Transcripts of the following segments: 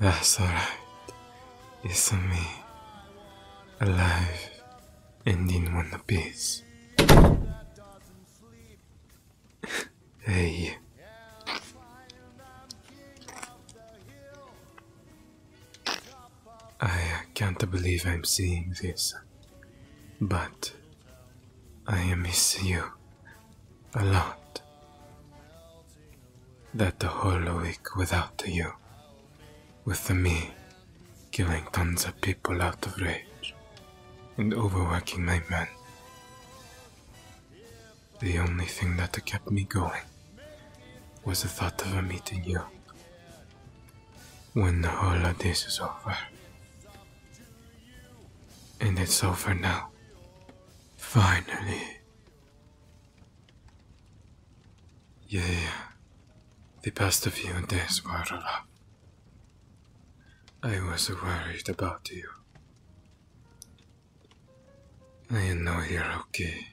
That's alright. It's me. Alive ending one apiece. hey. I uh, can't believe I'm seeing this, but I miss you a lot. That whole week without you with the me killing tons of people out of rage and overworking my men. The only thing that kept me going was the thought of meeting you. When the whole of this is over. And it's over now. Finally. Yeah, yeah. passed a few days were rough. I was worried about you. I know you're okay.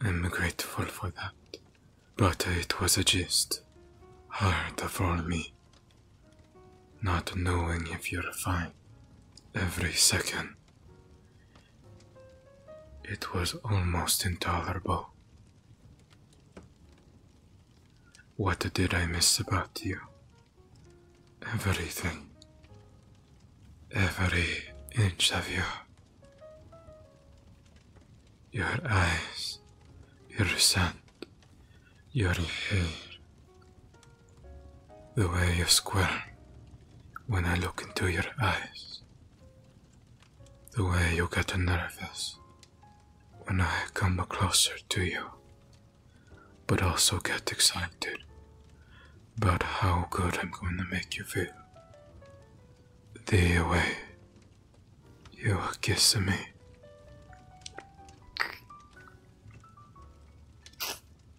I'm grateful for that. But it was a just hard for me. Not knowing if you're fine every second. It was almost intolerable. What did I miss about you? Everything. Every inch of you. Your eyes, your scent, your hair, the way you squirm, when I look into your eyes. The way you get nervous when I come closer to you, but also get excited about how good I'm going to make you feel. The way you are kissing me.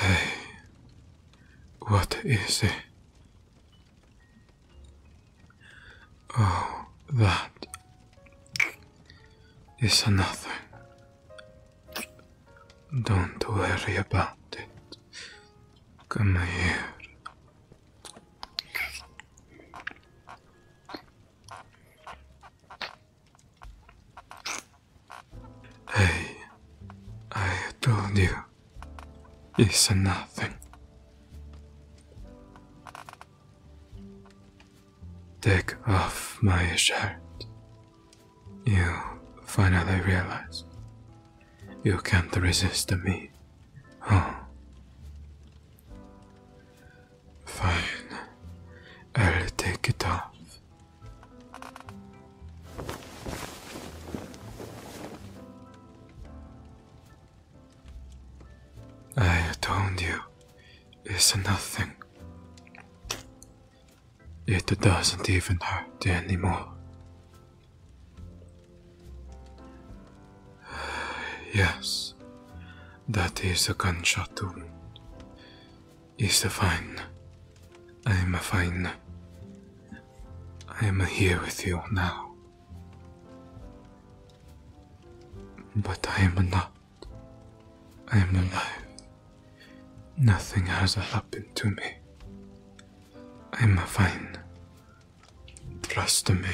Hey, what is it? Oh, that is another. Don't worry about it. Come here. Hey, I told you, it's nothing. Take off my shirt. You finally realize. you can't resist me. Huh? Fine. I'll take it off. I told you, it's nothing. It doesn't even hurt anymore. Yes, that is a gunshot wound. It's a fine. I am a fine. I am here with you now. But I am not. I am alive. Nothing has happened to me. I am fine. Trust me.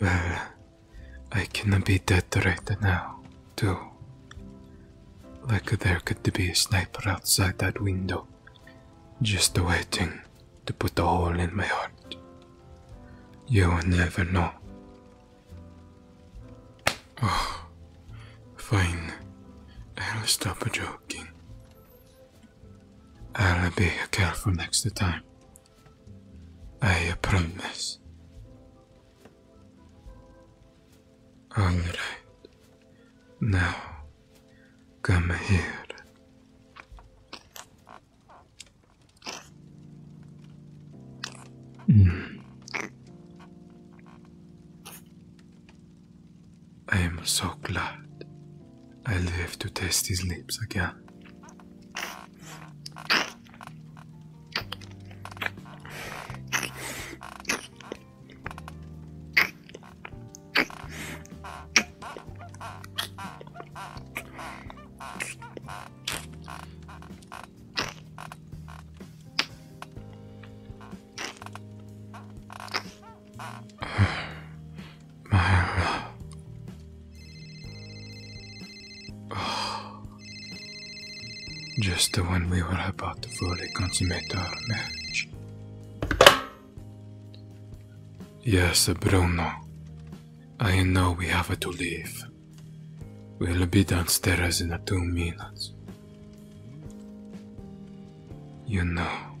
Well, I cannot be that right now, too. Like there could be a sniper outside that window, just waiting to put a hole in my heart. You will never know. Oh, fine. I'll stop joking. I'll be careful next time. I promise. Alright. Now, come here. Hmm. I am so glad I live to taste his lips again. Just the one we were about to fully consummate our marriage. Yes, Bruno. I know we have to leave. We'll be downstairs in two minutes. You know,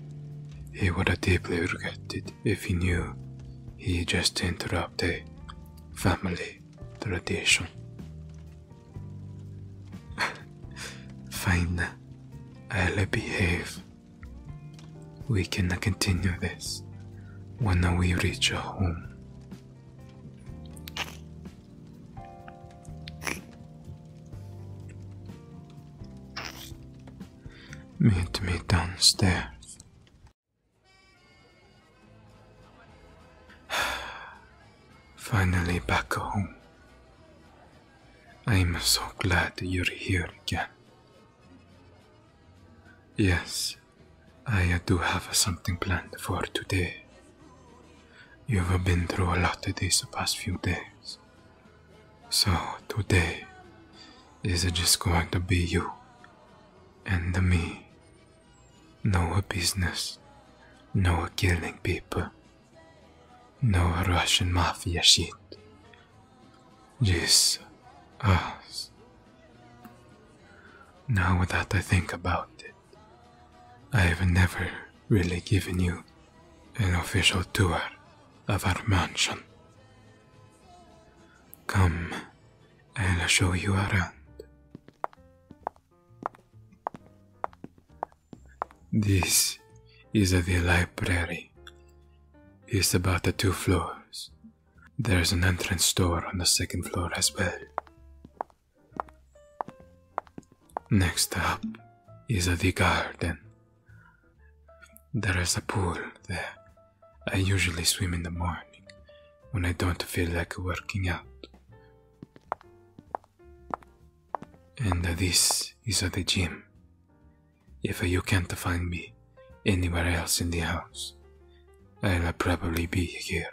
he would have deeply regretted if he knew he just interrupted family tradition. Fine, I'll behave. We can continue this when we reach home. Meet me downstairs. Finally back home. I'm so glad you're here again. Yes, I do have something planned for today. You have been through a lot these past few days. So today is just going to be you and me. No business, no killing people, no Russian mafia shit. Just us. Now that I think about it, I have never really given you an official tour of our mansion. Come, I'll show you around. This is the library. It's about the two floors. There's an entrance door on the second floor as well. Next up is the garden. There is a pool there. I usually swim in the morning when I don't feel like working out. And this is the gym. If you can't find me anywhere else in the house, I'll probably be here.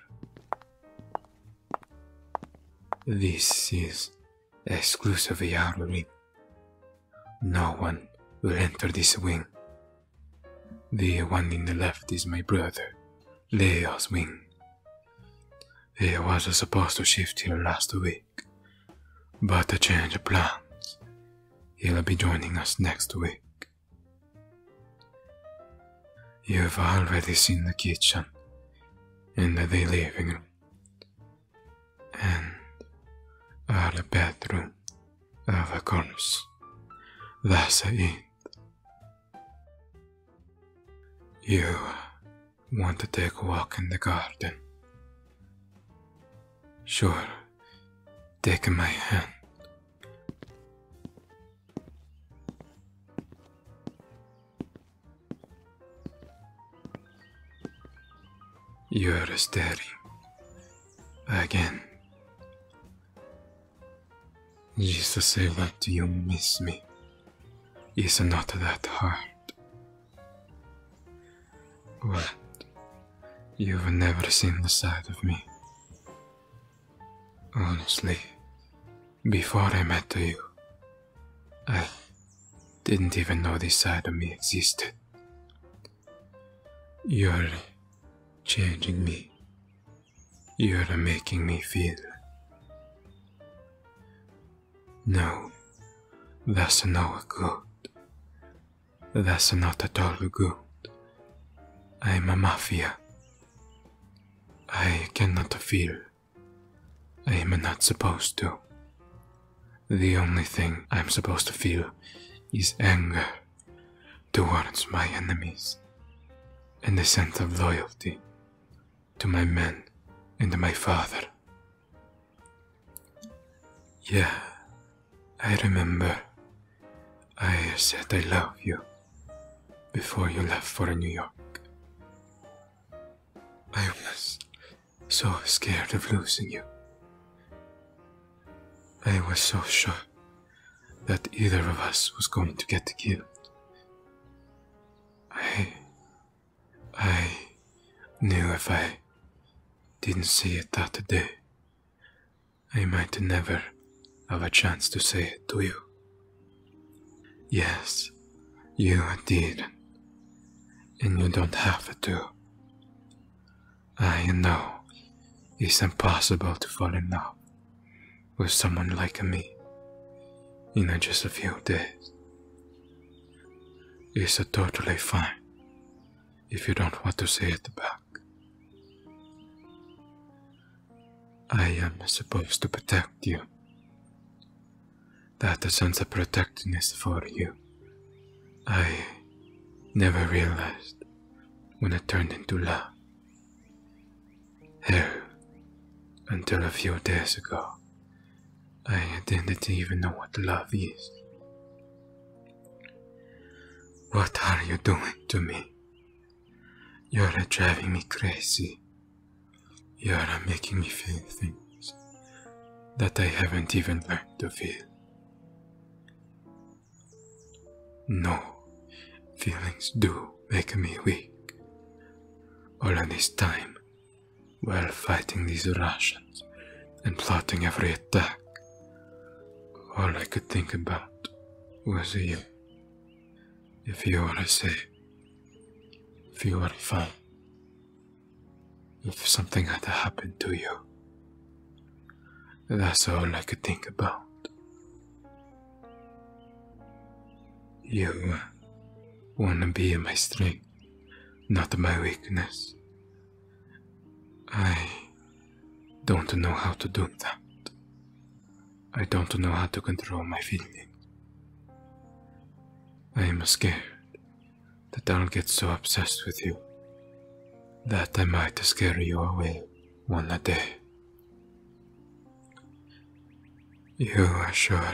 This is exclusive Yaruri. No one will enter this wing. The one in the left is my brother, Leo's wing. He was supposed to shift here last week, but a change plans. He'll be joining us next week. You have already seen the kitchen and the living room and the bedroom of course. corners. That's it. You want to take a walk in the garden? Sure, take my hand. You're staring again. Just to say that you miss me is not that hard. What? You've never seen the side of me. Honestly, before I met you, I didn't even know this side of me existed. You're changing me. You're making me feel. No, that's no good. That's not at all good. I'm a mafia. I cannot feel. I am not supposed to. The only thing I'm supposed to feel is anger towards my enemies and a sense of loyalty to my men and my father. Yeah, I remember. I said I love you before you left for New York. I was so scared of losing you. I was so sure that either of us was going to get killed. I. I knew if I didn't see it that day, I might never have a chance to say it to you. Yes, you did. And you don't have to. I know it's impossible to fall in love with someone like me in just a few days. It's totally fine if you don't want to say it back. I am supposed to protect you. That sense of protectedness for you, I never realized when it turned into love. Hell, until a few days ago, I didn't even know what love is. What are you doing to me? You're driving me crazy. You're making me feel things that I haven't even learned to feel. No, feelings do make me weak. All this time, while fighting these Russians and plotting every attack, all I could think about was you if you wanna safe, if you wanna find, if something had happened to you, that's all I could think about. You uh, wanna be my strength, not my weakness. I don't know how to do that. I don't know how to control my feelings. I am scared that I'll get so obsessed with you that I might scare you away one day. You are sure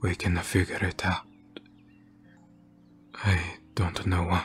we can figure it out. I don't know what.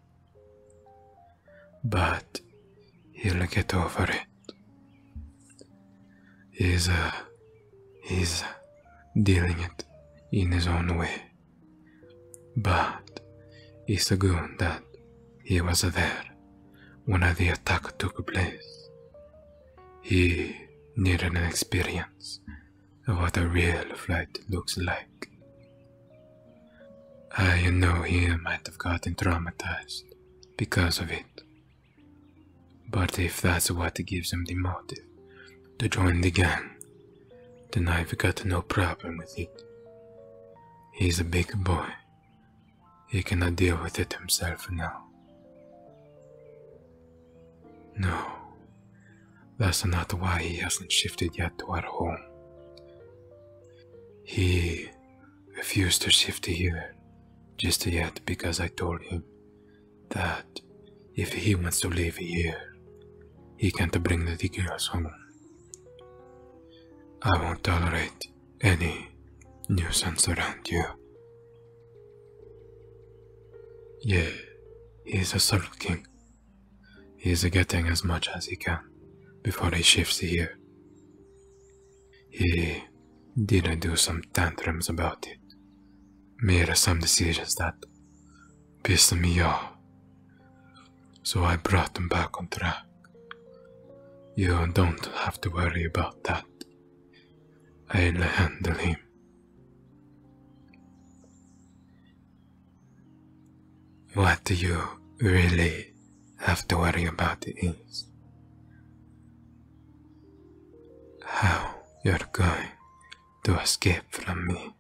But he'll get over it. He's, uh, he's dealing it in his own way. But it's a good that he was there when the attack took place. He needed an experience what a real flight looks like. I ah, know he might have gotten traumatized because of it. But if that's what gives him the motive to join the gang, then I've got no problem with it. He's a big boy. He cannot deal with it himself now. No, that's not why he hasn't shifted yet to our home. He refused to shift here just yet because I told him that if he wants to live here, he can't bring the girls home. I won't tolerate any nuisance around you. Yeah, he is a subtle king, he is getting as much as he can before he shifts here. He didn't do some tantrums about it, made some decisions that pissed me off. So I brought him back on track. You don't have to worry about that. I'll handle him what do you really have to worry about is how you're going to escape from me.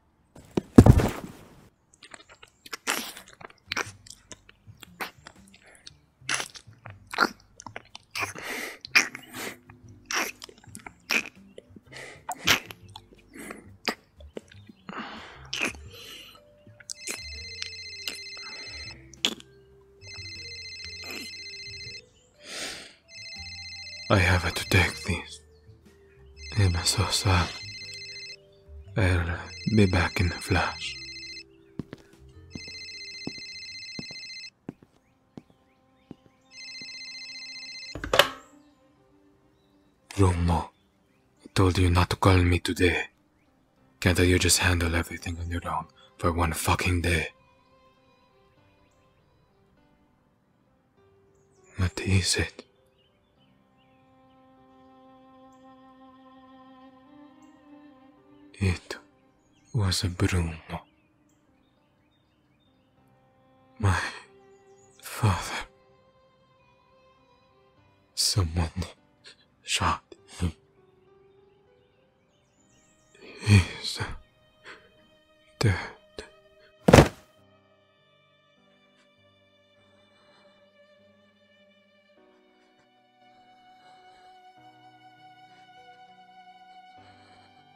I have to take this. I'm so sad. I'll be back in a flash. Romo, I told you not to call me today. Can't you just handle everything on your own for one fucking day? What is it? It was a Bruno. My father. Someone shot him. He's dead.